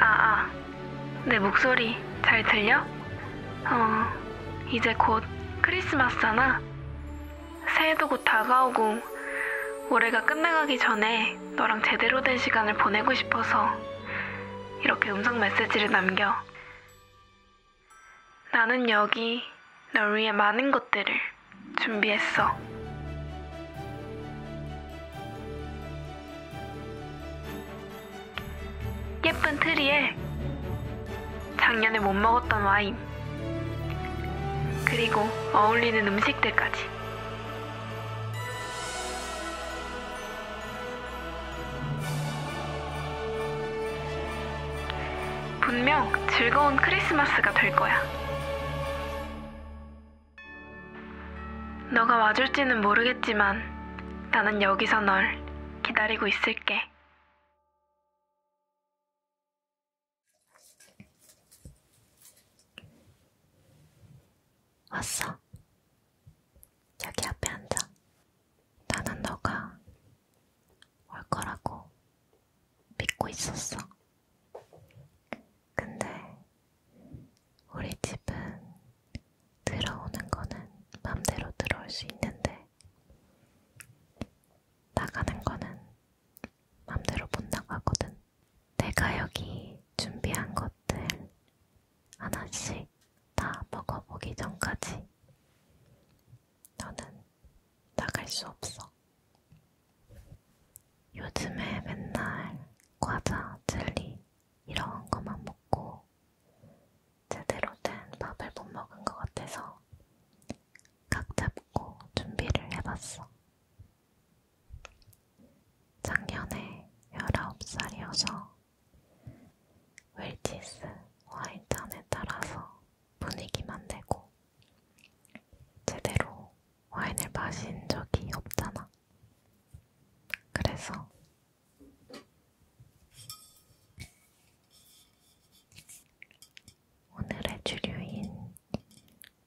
아, 아. 내 목소리 잘 들려? 어, 이제 곧 크리스마스잖아. 새해도 곧 다가오고 올해가 끝나가기 전에 너랑 제대로 된 시간을 보내고 싶어서 이렇게 음성 메시지를 남겨. 나는 여기 널 위해 많은 것들을 준비했어. 예쁜 트리에 작년에 못 먹었던 와인, 그리고 어울리는 음식들까지. 분명 즐거운 크리스마스가 될 거야. 너가 와줄지는 모르겠지만 나는 여기서 널 기다리고 있을게. 왔어. 여기 앞에 앉아. 나는 너가 올 거라고 믿고 있었어. 근데 우리 집은 들어오는 거는 맘대로 들어올 수 있는데 나가는 거는 맘대로 못 나가거든. 내가 여기 준비한 것들 하나씩 다 먹어보기 전까지 너는 나갈 수 없어. 요즘에 맨날 과자, 젤리 이런 것만 먹고 제대로 된 밥을 못 먹은 것 같아서 각 잡고 준비를 해봤어. 작년에 19살이어서 웰티스 와인잔에 따라서 분위기만 내고 제대로 와인을 마신 적이 없잖아. 그래서 오늘의 주류인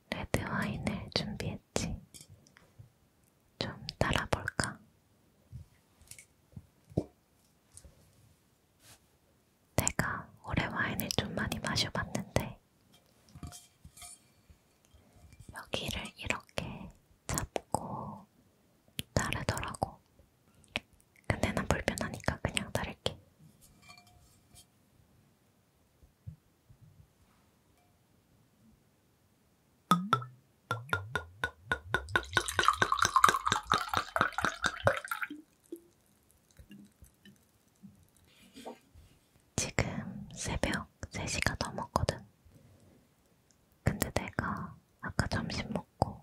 레드 와인을 준비했지. 좀 따라 볼까? 내가 올해 와인을 좀 많이 마셔봤는데 여기를 이렇게 잡고 따르더라고. 근데 난 불편하니까 그냥 따를게. 지금 새벽 3시가 넘었거든. 근데 내가 아까 점심 먹고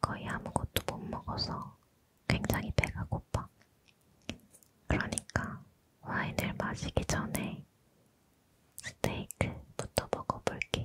거의 아무것도 못 먹어서 굉장히 배가 고파. 그러니까 와인을 마시기 전에 스테이크부터 먹어볼게.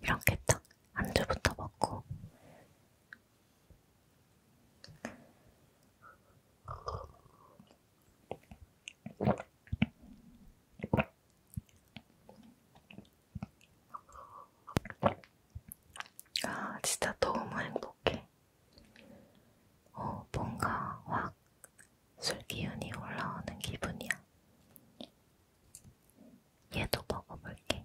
이렇게 딱 안주부터 먹고 아, 진짜 너무 행복해. 어, 뭔가 확 술기운이 올라오는 기분이야. 얘도 먹어볼게.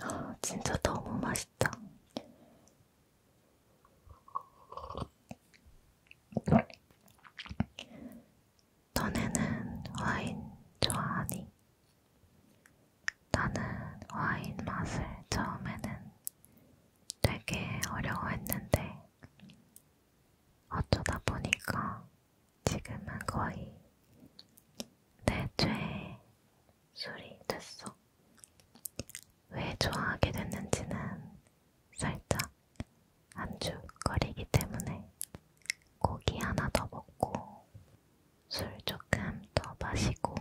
야, 진짜 너무 맛있다. 너네는 와인 좋아하니? 나는 와인 맛을 처음에는 되게 어려워했는데 어쩌다 보니까 지금은 거의 내 죄의 술이 됐어. 왜 좋아하게 됐는지는 살짝 안주거리기 때문에 고기 하나 더 먹고 술 조금 더 마시고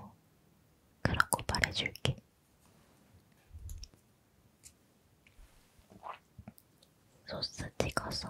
그러고 말해줄게. 소스 찍어서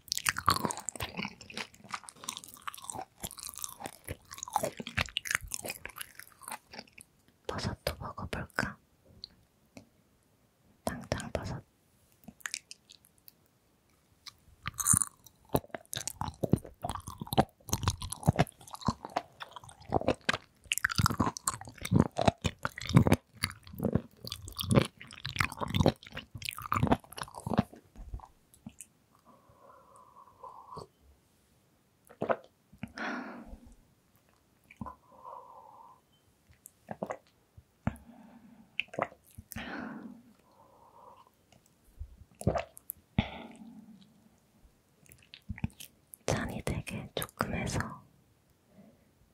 버섯도 먹어볼까? 당장 버섯. 잔이 되게 조금 해서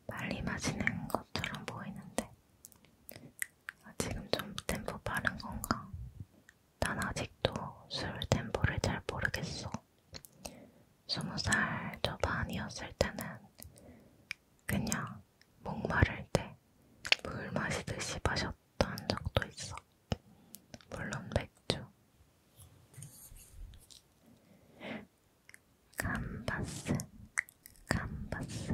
빨리 마시는 것처럼 보이는데 아, 지금 좀 템포 빠른 건가? 난 아직도 술 템포를 잘 모르겠어. 스무 살 초반이었을 때는 그냥 목마를 때 물 마시듯이 마셨던 적도 있어. 물론 맥주. 캄바스, 캄바스.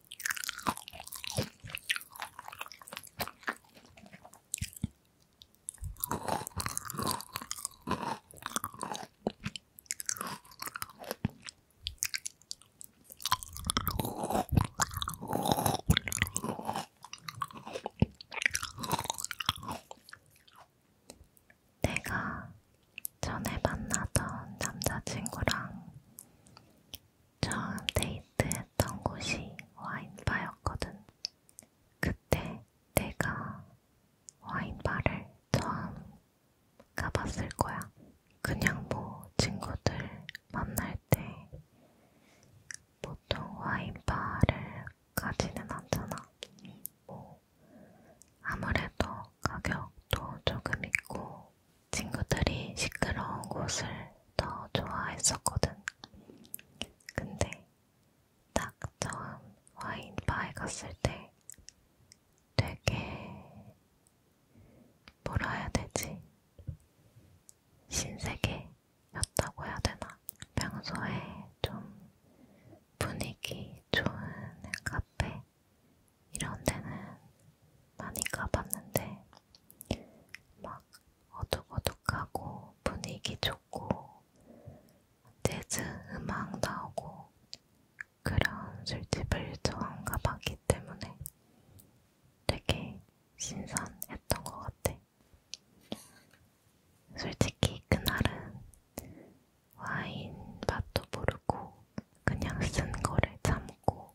내가 전에 만나던 남자친구랑 처음 데이트했던 곳이 와인바였거든. 그때 내가 와인바를 처음 가봤을 거야. 그냥 뭐 친구들 만날 때 보통 와인바를 가지는 않잖아. 뭐 아무래도 가격도 조금 있고 친구들이 시끄러운 곳을 더 좋아했었거든. 근데 딱 처음 와인바에 갔을 때 되게 뭐라 해야 되지? 신세계였다고 해야 되나? 평소에 좀 분위기 좋은 카페 이런 데는 많이 가봤는데 막 어둑어둑하고 분위기 좋고 재즈 음악 나오고 그런 술집을 좋아한 가봤기 때문에 되게 신선했던 것 같아. 솔직히 그날은 와인 맛도 모르고 그냥 쓴 거를 참고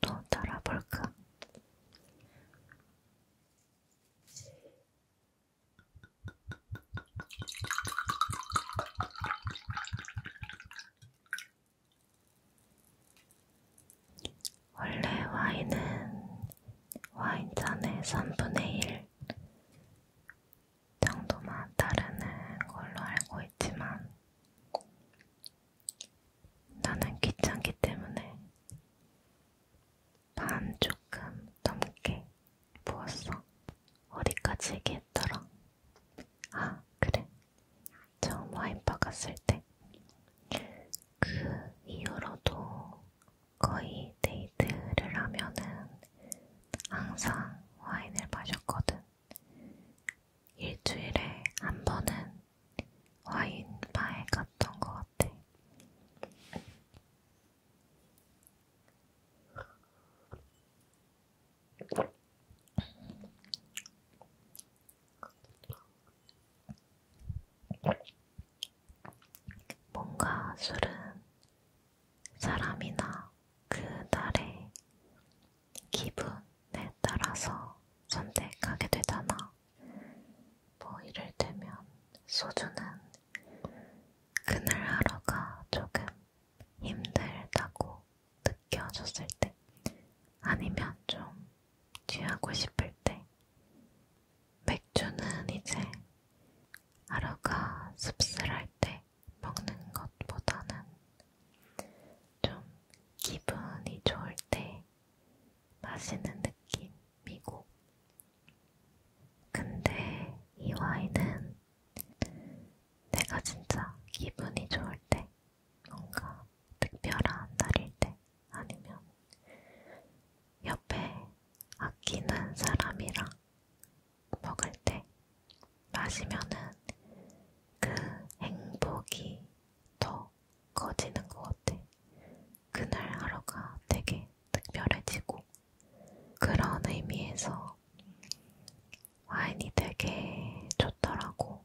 또 따라볼까? 원래 와인은 와인잔의 3분의 1 정도만 따르는 걸로 알고 있지만 나는 귀찮기 때문에 반 조금 넘게 부었어. 어디까지 얘기했더라? 아, 그래. 처음 와인 박았을 때 그 이후로도 거의 데이트를 하면은 항상 와인을 마셨거든. 일주일에 한 번은 와인 바에 갔던 것 같아. 뭔가 술은 사람이나 그날의 기분에 따라서 선택하게 되잖아. 뭐 이를테면 소주는 그날 하루가 조금 힘들다고 느껴졌을 때 아니면 좀 취하고 싶을 때 맥주는 이제 하루가 씁쓸할 때 먹는 것보다는 좀 기분이 좋을 때 마시는 느낌이고 근데 이 와인은 내가 진짜 기분이 좋을 때 뭔가 특별한 날일 때 아니면 옆에 아끼는 사람이랑 먹을 때 마시면은 그 행복이 더 커지는 것 같아. 그날 하루가 되게 특별해지고 그런 의미에서 와인이 되게 좋더라고.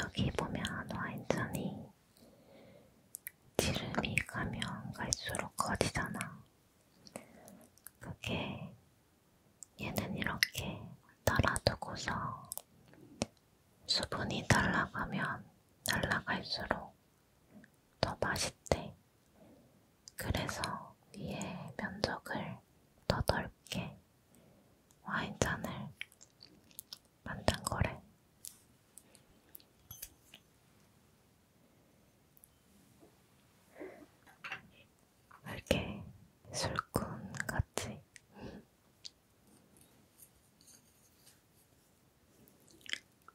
여기 보면 와인잔이 지름이 가면 갈수록 커지잖아. 그게 얘는 이렇게 따라두고서 수분이 날아가면 날아갈수록 더 맛있대. 그래서 위에 면적을 더 넓게 와인잔을 만든 거래. 이렇게 술꾼 같이.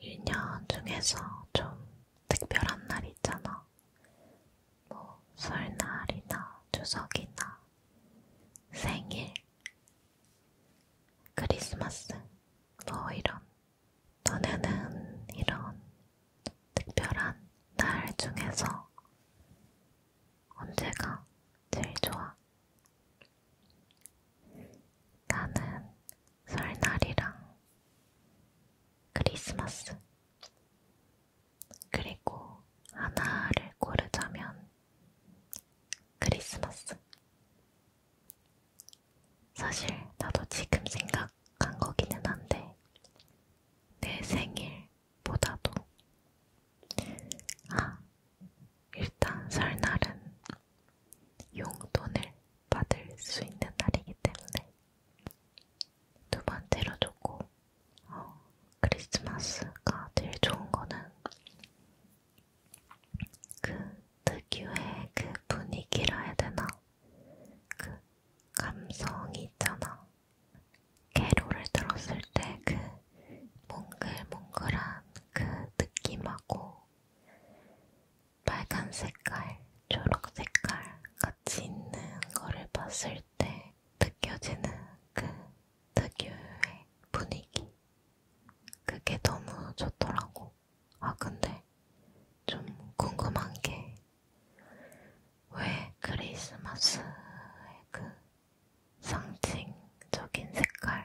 1년 중에서 좀 특별한 날이 있잖아. 뭐 설날이나 추석이나 생일, 크리스마스, 뭐 이런. 너네는 이런 특별한 날 중에서 언제가 제일 좋아? 나는 설날이랑 크리스마스 그리고 하나를 고르자면 크리스마스 사실 나도 지금 생각한 거기는 한데 내 생일 보다도 아, 일단 설날은 용돈을 받을 수 있는 날이기 때문에 두 번째로 좋고 어, 크리스마스가 제일 좋은 거는 그 특유의 그 분위기라 해야 되나? 그 감성이 있잖아. 캐롤을 들었을 때 그 몽글몽글한 그 느낌하고 빨간 색깔, 초록 색깔 같이 있는 거를 봤을 때 느껴지는 그 특유의 분위기. 그게 너무 좋더라고. 아, 근데 좀 궁금한 게왜 크리스마스의 그 상징적인 색깔이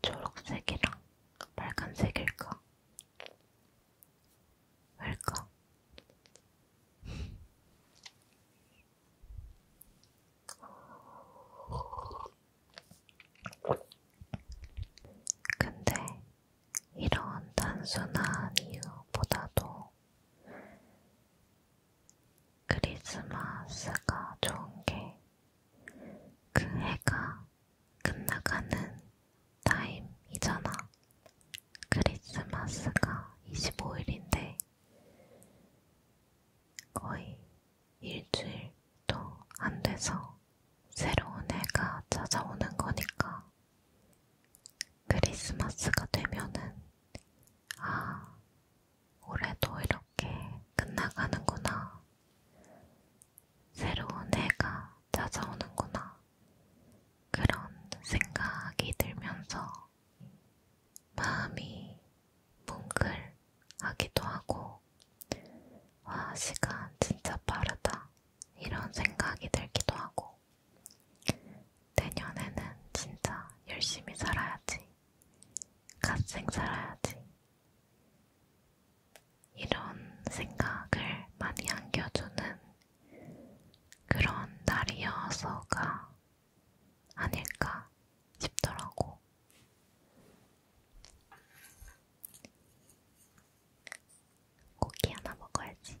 초록색이랑 빨간색일까? 왜일까? 근데 이런 단순한 이유보다도 크리스마스가 좋은 게 그 해가 끝나가는 타임이잖아. 크리스마스가 25일인데 거의 일주일도 안 돼서 새로운 해가 찾아오는 거니까 크리스마스가 되면은, 아, 올해도 이렇게 끝나가는구나. 새로운 해가 찾아오는구나. 그런 생각이 들면서 마음이 뭉클하기도 하고, 와, 시간 진짜 빠르다. 이런 생각이 들기도 하고, 내년에는 진짜 열심히 살아야지. 갓생 살아야지. 이런 생각을 많이 안겨주는 그런 날이어서가 아닐까 싶더라고. 고기 하나 먹어야지.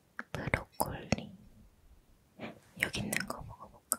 브로콜리 여기 있는 거 먹어볼까?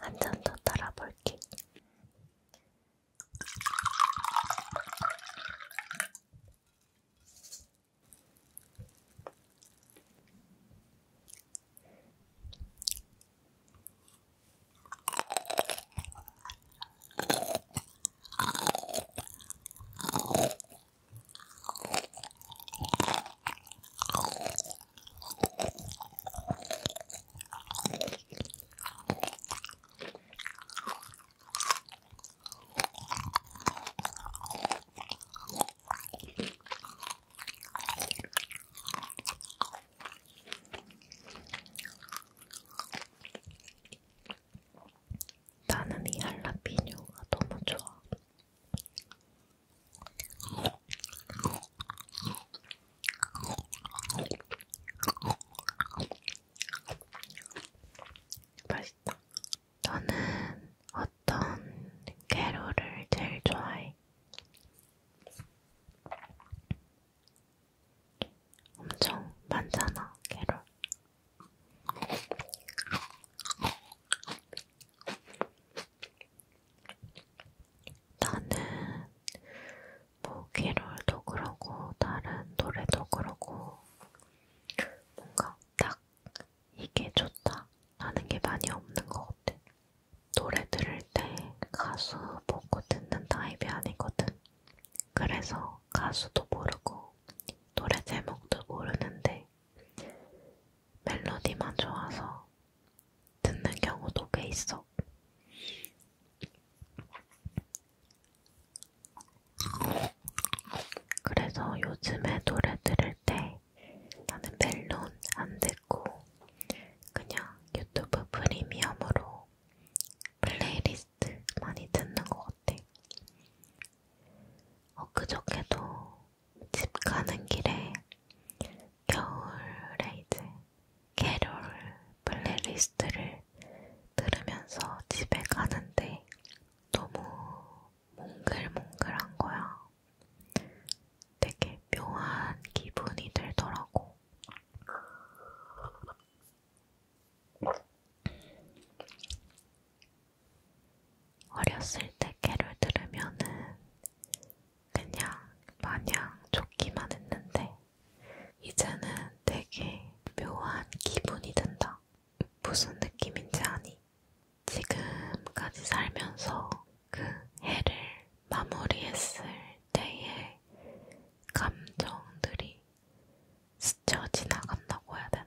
한잔더 따라볼게. 나는 이 할라피뇨가 너무 좋아. 맛있다. 너는 어떤 캐롤을 제일 좋아해? 엄청 많잖아, 캐롤. 나는 뭐 캐롤도 그러고 다른 노래도 그러고 뭔가 딱 이게 좋다 하는 게 많이 없는 것 같아. 노래 들을 때 가수 보고 듣는 타입이 아니거든. 그래서 가수도 모르고 노래 제목도 모르는데 멜로디만 좋아서 듣는 경우도 꽤 있어. 그래서 요즘에 노래 들을 때 나는 멜론 안 듣고 그냥 유튜브 프리미엄으로 플레이리스트 많이 듣는 것 같아. 엊그저께도 집 가는 길에 겨울에 이제 캐롤 플레이리스트를 들으면서 집에 가는데 너무 몽글몽글한 거야. 되게 묘한 기분이 들더라고. 어렸을 때 개를 들으면은 그냥 마냥 좋기만 했는데 이제는 되게 묘한 기분이 든다. 무슨 느낌인지 아니? 지금까지 살면서 그 해를 마무리했을 때의 감정들이 스쳐 지나간다고 해야 되나?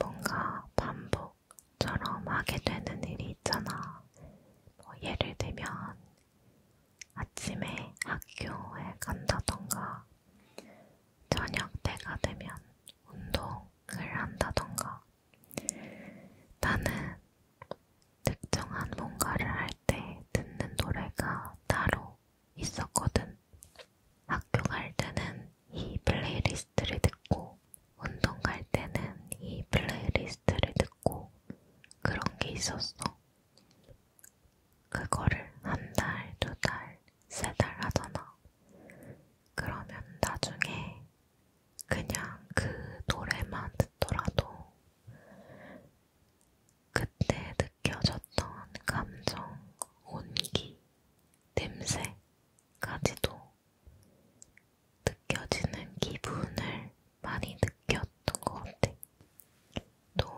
뭔가 반복 처럼 하게 되는 일이 있잖아. 뭐 예를 들면 아침에 학교에 간다던가 저녁 때가 되면 운동을 한다던가 나는 특정한 뭔가를 할 때 듣는 노래가 따로 있었거든. 학교 갈 때는 이 플레이리스트를 듣고 운동 갈 때는 이 플레이리스트를 듣고 그런 게 있었어. 그거를 한 달, 두 달, 세 달 하잖아. 그러면 나중에 그냥 그 노래만 듣더라도 그때 느껴졌던 감정, 온기, 냄새까지도 느껴지는 기분을 많이 느꼈던 것 같아. 또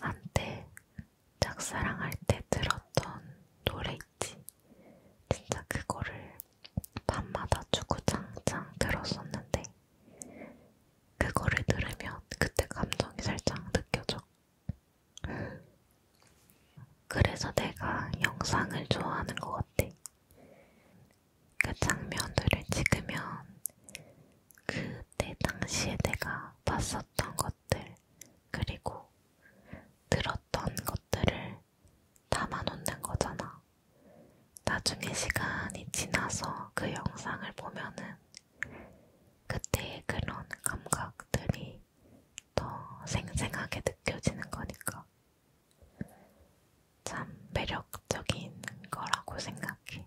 한때 짝사랑할 때 들었던 노래 있지. 진짜 그거를 밤마다 주구장창 들었었는데 그거를 들으면 그때 감정이 살짝 느껴져. 그래서 내가 영상을 좋아하는 것 같아. 그 장면들을 찍으면 그때 당시에 내가 봤었던 것들 그리고 들었던 것들을 담아놓는 거잖아. 나중에 시간이 지나서 그 영상을 보면은 그때의 그런 감각들이 더 생생하게 느껴지는 거니까. 참 매력적인 거라고 생각해.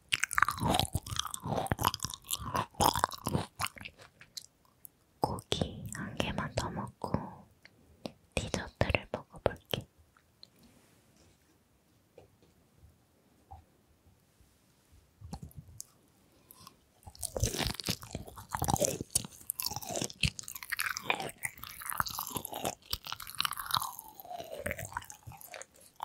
고기 한 개만 더 먹고 디저트를 먹어볼게.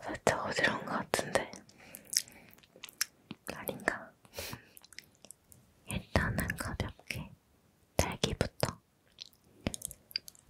살짝 어지러운 것 같은데 아닌가? 일단은 가볍게 딸기부터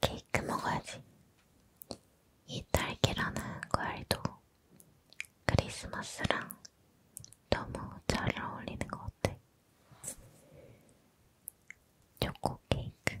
케이크 먹어야지. 이 딸기라는 과일도 크리스마스랑 너무 잘 어울리는 것 같아. 초코 케이크.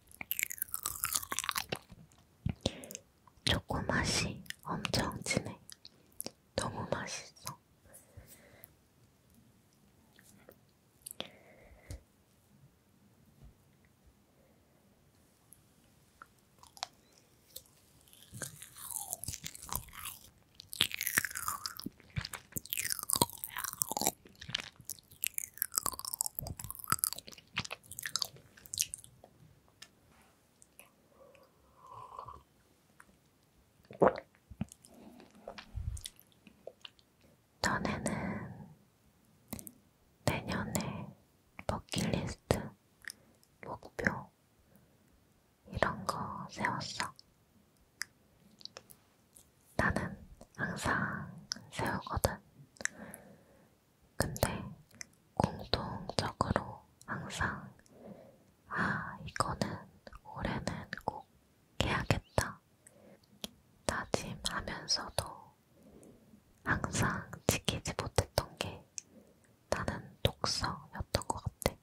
초코 맛이 엄청 진해. 너무 맛있어. 전에는 내년에 버킷리스트, 목표 이런 거 세웠어. 나는 항상 세우거든. 근데 공통적으로 항상 아, 이거는 올해는 꼭 해야겠다. 다짐하면서도 항상 지키지 못했던 게 나는 독서였던 것 같아.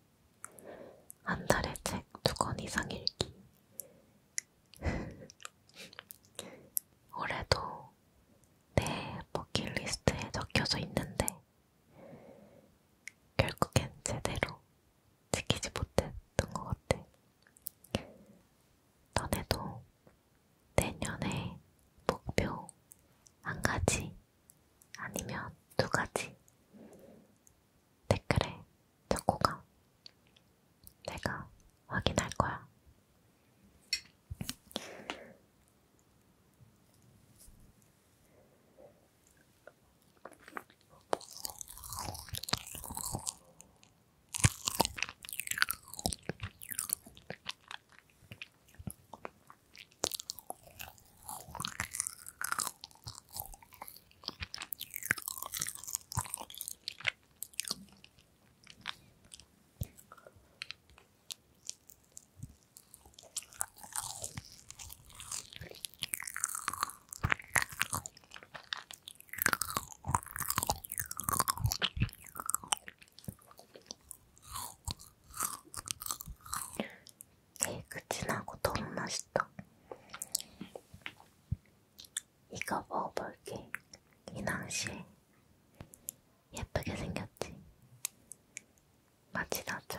한 달에 책 두 권 이상 읽기, 올해도 내 버킷리스트에 적혀져 있는데 결국엔 제대로 지키지 못했던 것 같아. 너네도 내년에 목표 한 가지 아니면 두 가지 댓글에 적고가 내가 확인할 거야. ええ口なことをました。 이거 먹어볼게. 이낭시 예쁘게 생겼지? 맛이 나죠?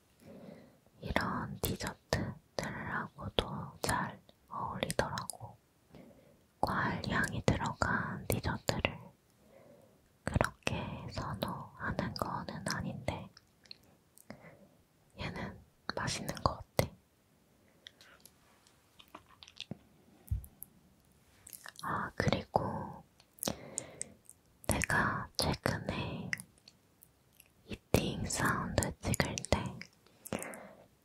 이런 디저트들하고도 잘 어울리더라고. 과일 향이 들어간 디저트를 그렇게 선호하는 거는 아닌데, 얘는 맛있는 것 같아. 아, 그리고 내가 최근에 이팅 사운드 찍을 때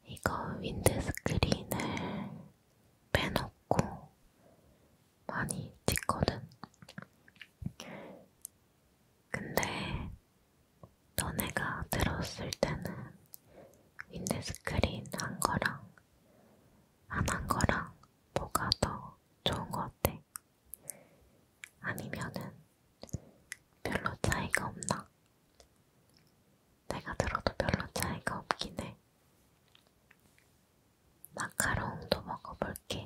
이거 윈드스크린을 빼놓고 많이 찍거든. 근데 너네가 들었을 때는 윈드스크린 한 거랑 안 한 거랑 뭐가 더 좋은 거 같아? 아니면은 별로 차이가 없나? 내가 들어도 별로 차이가 없긴 해. 마카롱도 먹어볼게.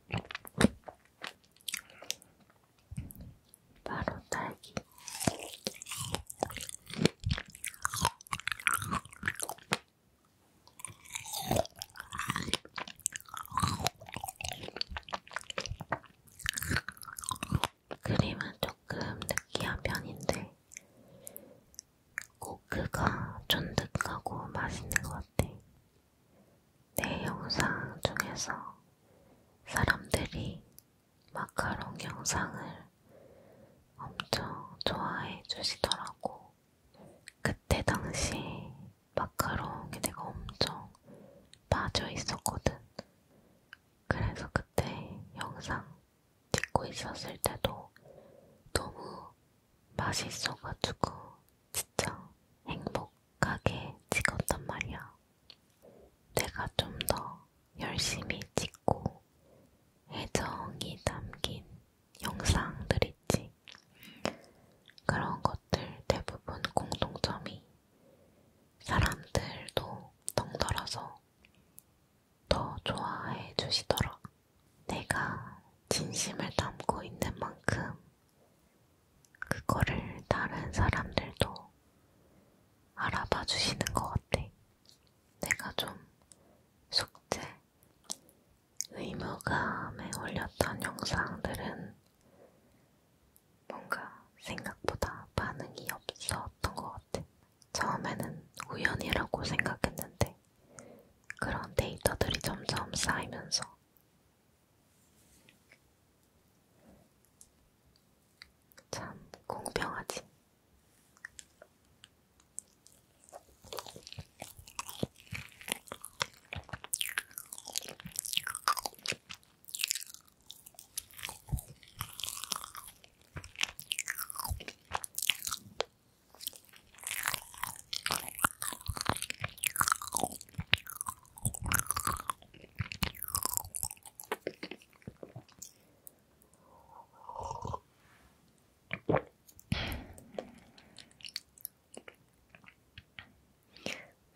바로 딸기. 크림은 조금 느끼한 편인데 코크가 쫀득하고 맛있는 것 같아. 내 영상 중에서 사람들이 마카롱 영상을 엄청 좋아해 주시더라고. 그때 당시 마카롱이 내가 엄청 빠져 있었거든. 그래서 그때 영상 찍고 있었을 때도 너무 맛있어가지고 진짜 행복하게 찍었단 말이야. 내가 좀 더 열심히 찍고 애정이 담긴 영상들 있지. 그런 것들 대부분 공통점이 사람들도 덩달아서 더 좋아해 주시더라. 내가 진심을 담고 있는 만큼 그거를 다른 사람들도 알아봐 주시는 것 같아. 내가 좀 숙제, 의무감에 올렸던 영상들은 뭔가 생각보다 반응이 없었던 것 같아. 처음에는 우연이라고 생각했는데 그런 데이터들이 점점 쌓이면서 참 공평하지.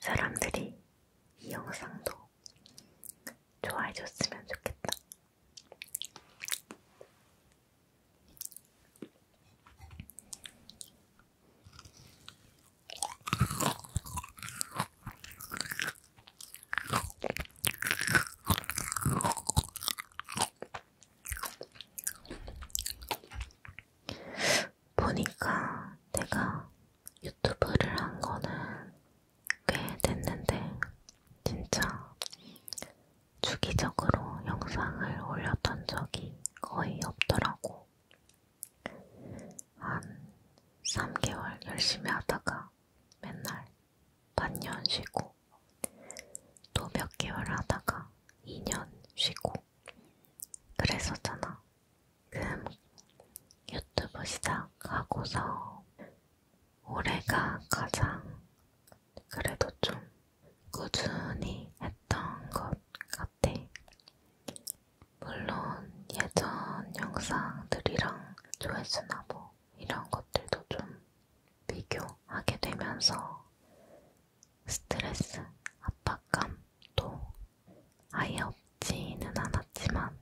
사람들이 이 영상도 좋아해줬으면 좋겠다. 보니까 내가 유튜브를 한 거는 꽤 됐는데, 진짜 주기적으로 영상을 올렸던 적이 거의 없더라고. 한 3개월 열심히 하다가 맨날 반년 쉬고 또 몇 개월 하다가 2년 쉬고 그랬었잖아. 그럼 유튜브 시작하고서 올해가 가장 그래도 좀 꾸준히 했던 것 같아. 물론 예전 영상들이랑 조회수나 뭐 이런 것들도 좀 비교하게 되면서 스트레스, 압박감도 아예 없지는 않았지만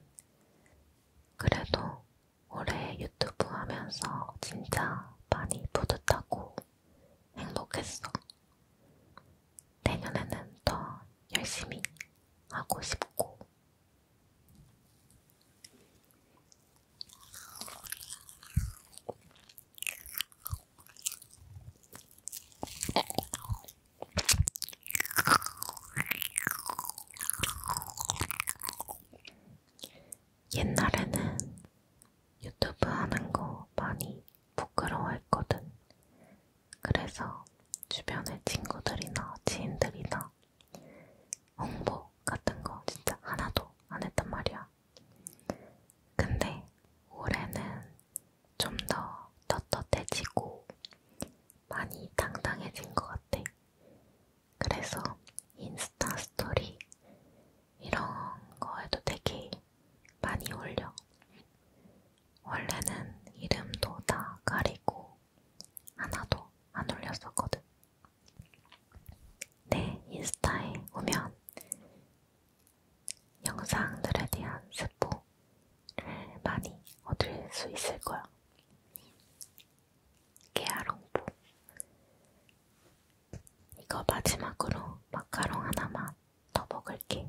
그래도 올해 유튜브 하면서 진짜 많이 뿌듯하고 행복했어. 내년에는 더 열심히 하고 싶고. 옛날에는 유튜브 하는 거 많이 부끄러워했거든. 그래서 주변의 친구들이나 지인들이나 홍보 같은 거 진짜 하나도 안 했단 말이야. 근데 올해는 좀 더 떳떳해지고 많이 당당해진 것 같아. 그래서 인스 인스타 스토리 이런 거에도 되게 많이 올려. 원래는 이름도 다 가리고 하나도 안 올렸었거든. 내 인스타에 오면 영상들에 대한 스포를 많이 얻을 수 있을 거야. 깨알홍보 이거 마지막으로 마카롱 하나만 더 먹을게.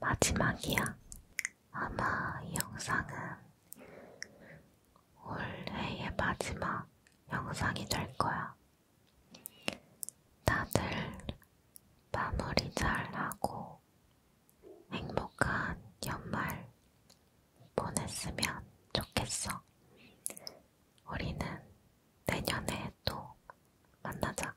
마지막이야. 아마 이 영상은 올해의 마지막 영상이 될 거야. 다들 마무리 잘 하고 행복한 연말 보냈으면 좋겠어. 우리는 내년에 또 만나자.